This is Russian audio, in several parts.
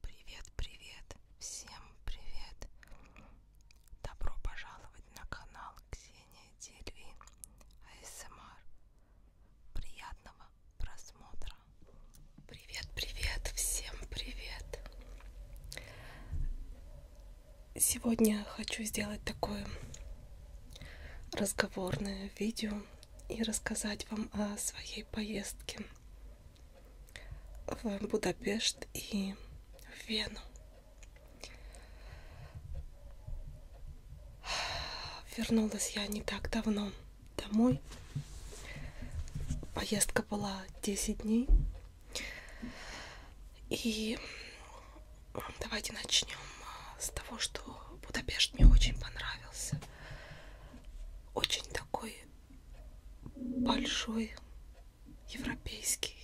Привет, привет, всем привет! Добро пожаловать на канал Ксения Дельви АСМР. Приятного просмотра! Привет, привет, всем привет! Сегодня хочу сделать такое разговорное видео и рассказать вам о своей поездке в Будапешт и в Вену. Вернулась я не так давно домой. Поездка была 10 дней. И давайте начнем а, с того, что Будапешт мне очень понравился. Очень такой большой, европейский,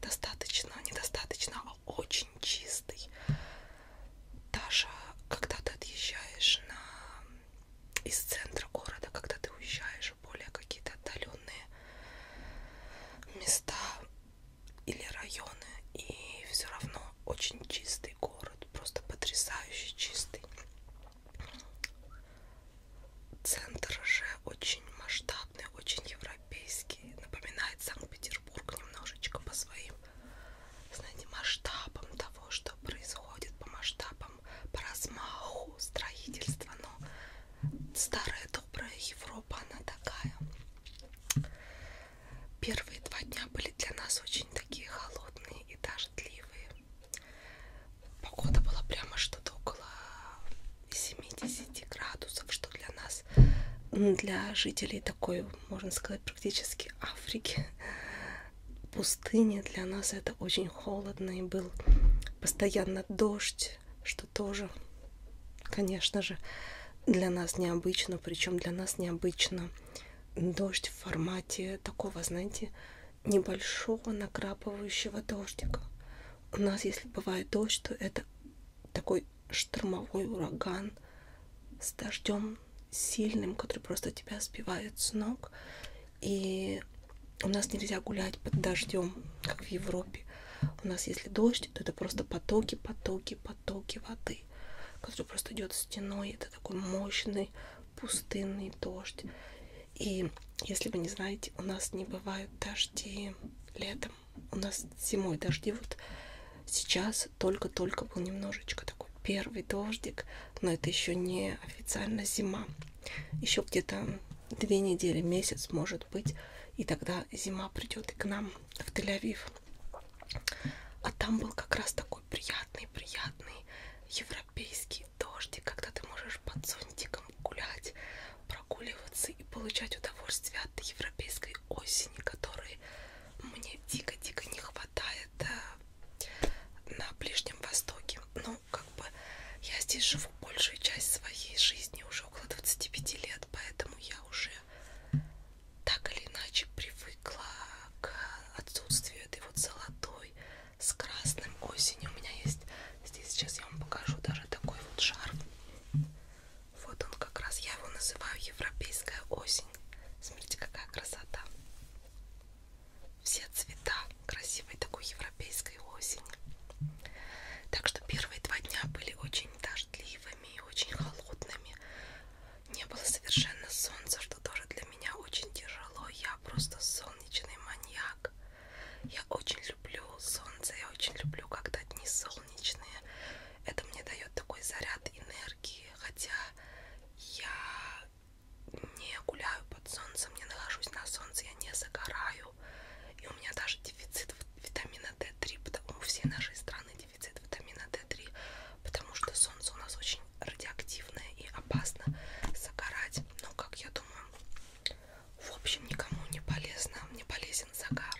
достаточно, недостаточно, а очень чистый. Даже когда ты отъезжаешь на... из центра города, когда ты уезжаешь в более какие-то отдаленные места или районы, и все равно очень чистый город, просто потрясающе чистый. Центр же очень масштабный, очень европейский. Напоминает Санкт-Петербург немножечко по своим, знаете, масштабам того, что происходит, по масштабам, по размаху строительства. Но старая добрая Европа, она такая. Первые два дня были для нас очень такие холодные и дождливые. Погода была прямо что-то около 70 градусов, что для нас, для жителей такой, можно сказать, практически Африки, пустыни, для нас это очень холодно и был постоянно дождь, что тоже, конечно же, для нас необычно, причем для нас необычно дождь в формате такого, знаете, небольшого накрапывающего дождика. У нас, если бывает дождь, то это такой штормовой ураган с дождем сильным, который просто тебя сбивает с ног. И у нас нельзя гулять под дождем, как в Европе. У нас, если дождь, то это просто потоки, потоки, потоки воды, который просто идет стеной. Это такой мощный пустынный дождь. И если вы не знаете, у нас не бывают дожди летом. У нас зимой дожди. Вот сейчас только-только был немножечко такой первый дождик, но это еще не официально зима. Еще где-то две недели, месяц может быть, и тогда зима придет и к нам в Тель-Авив. А там был как раз такой такой приятный-приятный европейский дождик, когда ты можешь под зонтиком гулять, прогуливаться и получать удовольствие от европейской осени, которой мне дико-дико не хватает э, на Ближнем Востоке. Ну, как бы я здесь живу большую часть своей жизни, уже около 25 лет, поэтому я уже так или иначе привыкла к отсутствию этой вот золотой голубой с красным осенью. У меня есть здесь сейчас я вам покажу даже такой вот шарф. Вот он как раз, я его называю европейская осень. Смотрите, какая красота. Все цвета красивой такой европейской осени. Так что первые два дня были очень дождливыми и очень холодными. Не было совершенно солнца, что тоже для меня очень тяжело. Я просто солнечный маньяк. Я очень люблю солнце, я очень люблю, когда дни солнечные. Это мне дает такой заряд энергии, хотя я не гуляю под солнцем, не нахожусь на солнце, я не загораю. И у меня даже дефицит витамина D3, у всей нашей страны дефицит витамина D3, потому что солнце у нас очень радиоактивное и опасно загорать. Но, как я думаю, в общем, никому не полезно, не полезен загар.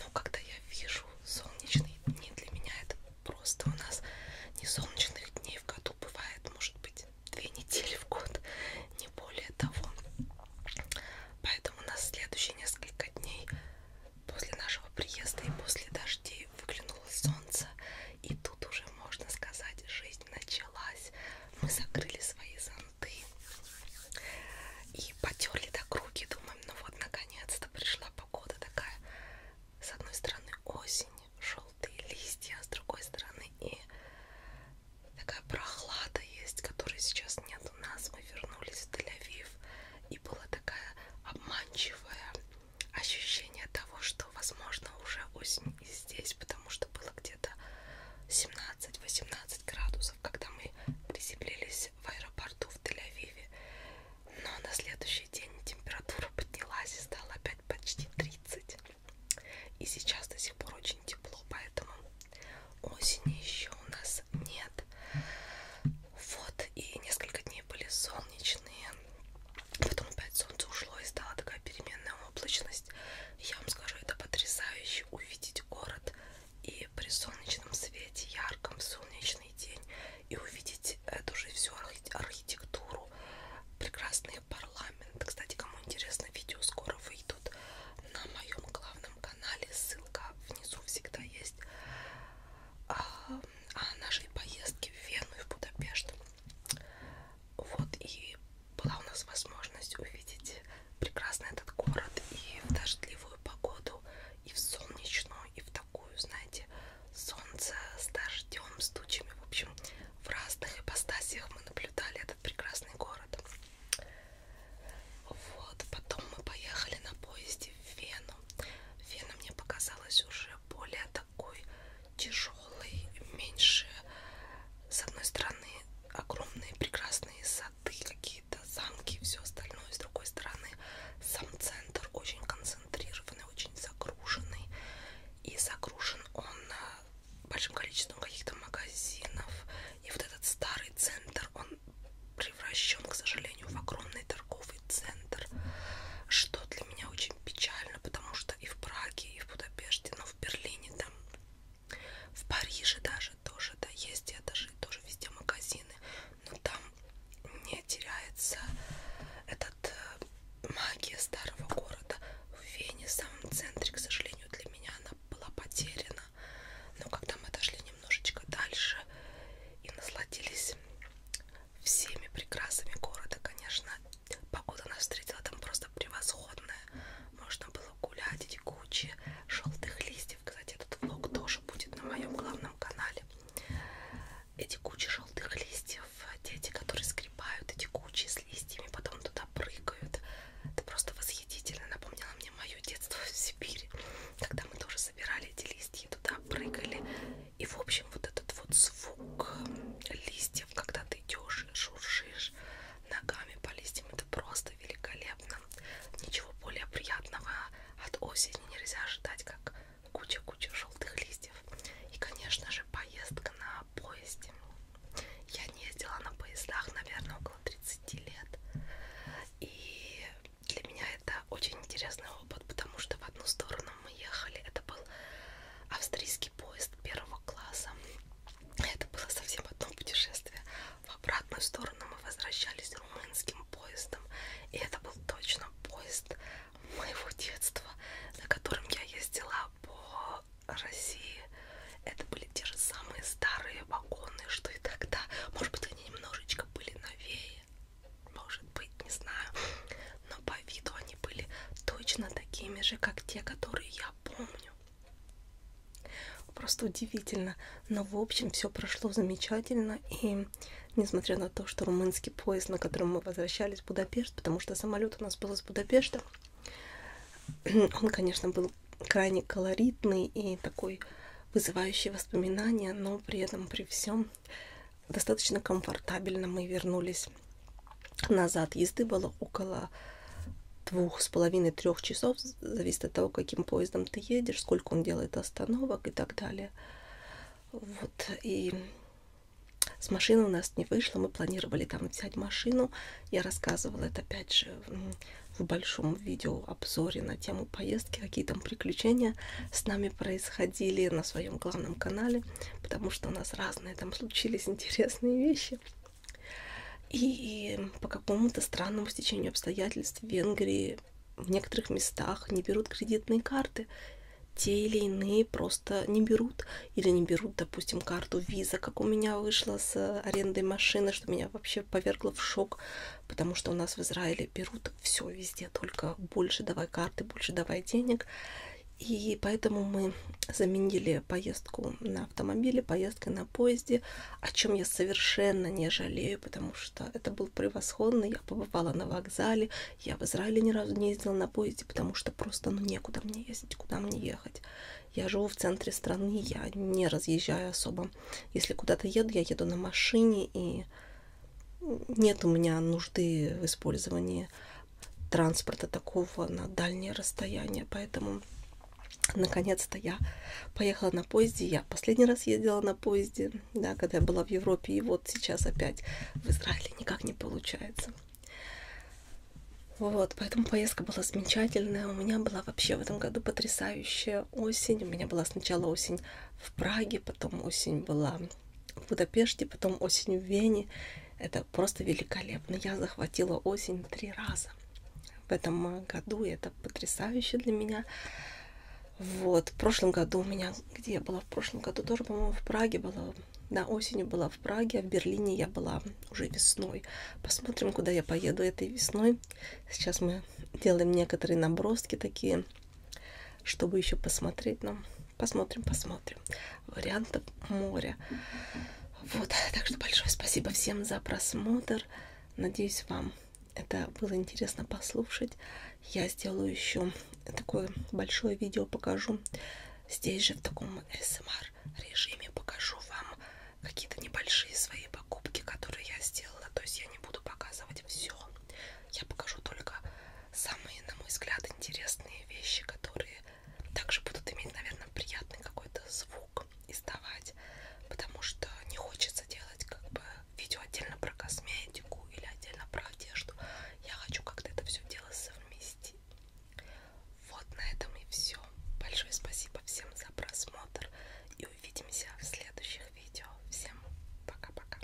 Но когда я вижу солнечные дни, для меня это просто у нас не солнечных дней в году бывает, может быть, две недели в год, не более того. Поэтому у нас следующие несколько дней после нашего приезда и после дождей выглянуло солнце, и тут уже можно сказать, жизнь началась. Мы закрыли свои зонты и потерли до круги, думаем, ну вот наконец-то пришла погода такая. С одной стороны осень, желтые листья, а с другой стороны и такая прохлада есть, которой сейчас нет у нас. Мы вернулись в Тель-Авив, и была такая обманчивая ощущение того, что, возможно, уже осень и здесь, потому что было где-то 17-18 градусов, когда мы приземлились в аэропорту в Тель-Авиве. Но на следующий день температура поднялась и стала опять почти 30. И сейчас до сих пор очень тепло, поэтому осени еще у нас нет. Вот, и несколько дней были солнечные, Потом опять солнце ушло и стала такая переменная облачность. Я вам скажу, это потрясающе увидеть город и при солнечном свете, ярком, в солнечный день, и увидеть эту же всю архитектуру, прекрасный парламент. Кстати, кому интересно, видео скоро выйдут на моем главном канале, ссылка внизу всегда есть. А, о а, нашей поездке в Вену и в Будапешт. Вот и была у нас возможность увидеть прекрасно этот город и в дождливую погоду, и в солнечную, и в такую, знаете, солнце с дождем, с тучами. В общем, в разных ипостасиях мы наблюдали этот прекрасный город. Вот, потом мы поехали на поезде в Вену. Вена мне показалась уже более так такой тяжелый, меньше с одной стороны огромные прекрасные сады, какие-то замки, все остальное, с другой стороны сам центр очень концентрированный, очень загруженный и загружен он э, большим количеством каких-то магазинов и вот этот старый центр он превращен, к сожалению, в огромный торговый торговый центр, что для меня очень печально, потому что и в Праге, и в Будапеште, но в Берлине там, в Париже даже тоже, да, есть этажи, тоже везде магазины, но там не теряется этот э, магия старого города. В Вене, в самом центре, к сожалению, для меня она была потеряна. Но когда мы дошли немножечко дальше и насладились всеми прекрасами города, конечно. Погода нас встретила там просто превосходная. Можно было гулять, эти кучи желтых листьев. Кстати, этот влог тоже будет на моем главном канале. Эти кучи желтых листьев, дети, которые скрипают эти кучи с листьями, потом туда прыгают. Это просто восхитительно. Напомнило мне мое детство в Сибири, когда мы тоже собирали эти листья, туда прыгали и, в общем, вот этот вот звук листьев, когда ты идешь и шуршишь ногами по листьям, это просто великолепно. Ничего более приятного от осени нельзя ожидать, как куча-куча желтых листьев. И, конечно же, поездка на поезде. Я не ездила на поездах, наверное, около 30 лет. И для меня это очень интересный опыт, потому что в одну сторону Лондоном мы ехали. Это был австрийский поезд первого класса. Это было совсем одно путешествие. В обратную сторону мы возвращались румынским поездом. И это был точно поезд моего детства, на котором я ездила по России. Это были те же самые старые вагоны, что и тогда. Может быть, они немножечко были новее может быть, не знаю, но по виду они были точно такими же, как те, которые я помню. Просто удивительно, но в общем все прошло замечательно, и несмотря на то, что румынский поезд, на котором мы возвращались в Будапешт, потому что самолет у нас был из Будапешта, он, конечно, был крайне колоритный и такой вызывающий воспоминания, но при этом при всем достаточно комфортабельно мы вернулись назад. Езды было около двух с половиной трех часов, зависит от того, каким поездом ты едешь, сколько он делает остановок и так далее. Вот, и с машины у нас не вышло, мы планировали там взять машину. Я рассказывала это опять же в большом видео обзоре на тему поездки, какие там приключения общения с нами происходили на своем главном канале, потому что у нас разные там случились интересные вещи. И по какому-то странному стечению обстоятельств в Венгрии в некоторых местах не берут кредитные карты. Те или иные просто не берут. Или не берут, допустим, карту виза, как у меня вышло с арендой машины, что меня вообще повергло в шок, потому что у нас в Израиле берут вот все везде, только больше давай карты, больше давай денег. И поэтому мы заменили поездку на автомобиле, поездкой на поезде, о чем я совершенно не жалею, потому что это был превосходный. Я побывала на вокзале, я в Израиле ни разу не ездила на поезде, потому что просто ну некуда мне ездить, куда мне ехать. Я живу в центре страны, я не разъезжаю особо. Если куда-то еду, я еду на машине, и нет у меня нужды в использовании транспорта такого на дальние расстояния, поэтому наконец-то я поехала на поезде. Я последний раз ездила на поезде, да, когда я была в Европе, и вот сейчас опять в Израиле никак не получается. Вот, поэтому поездка была замечательная. У меня была вообще в этом году потрясающая осень. У меня была сначала осень в Праге, потом осень была в Будапеште, потом осенью в Вене. Это просто великолепно. Я захватила осень три раза в этом э, году. И это потрясающе для меня. Вот. В прошлом году у меня... Где я была в прошлом году? Тоже, по-моему, в Праге была. Да, осенью была в Праге, а в Берлине я была уже весной. Посмотрим, куда я поеду этой весной. Сейчас мы делаем некоторые наброски такие, чтобы еще посмотреть нам. Но... Посмотрим, посмотрим. Вариантов моря. Вот, так что большое спасибо всем за просмотр. Надеюсь, вам это было интересно послушать. Я сделаю еще такое большое видео, покажу. Здесь же в таком СМР режиме покажу вам какие-то небольшие свои покупки, которые я сделала. То есть я не буду показывать все я покажу только самые, на мой взгляд, интересные вещи, которые также будут иметь, наверное, приятный какой-то звук издавать, потому что не хочется делать как бы видео отдельно про косметику или отдельно про одежду. Я хочу как-то это все дело совместить. Вот на этом и все. Большое спасибо всем за просмотр и увидимся в следующих видео. Всем пока-пока.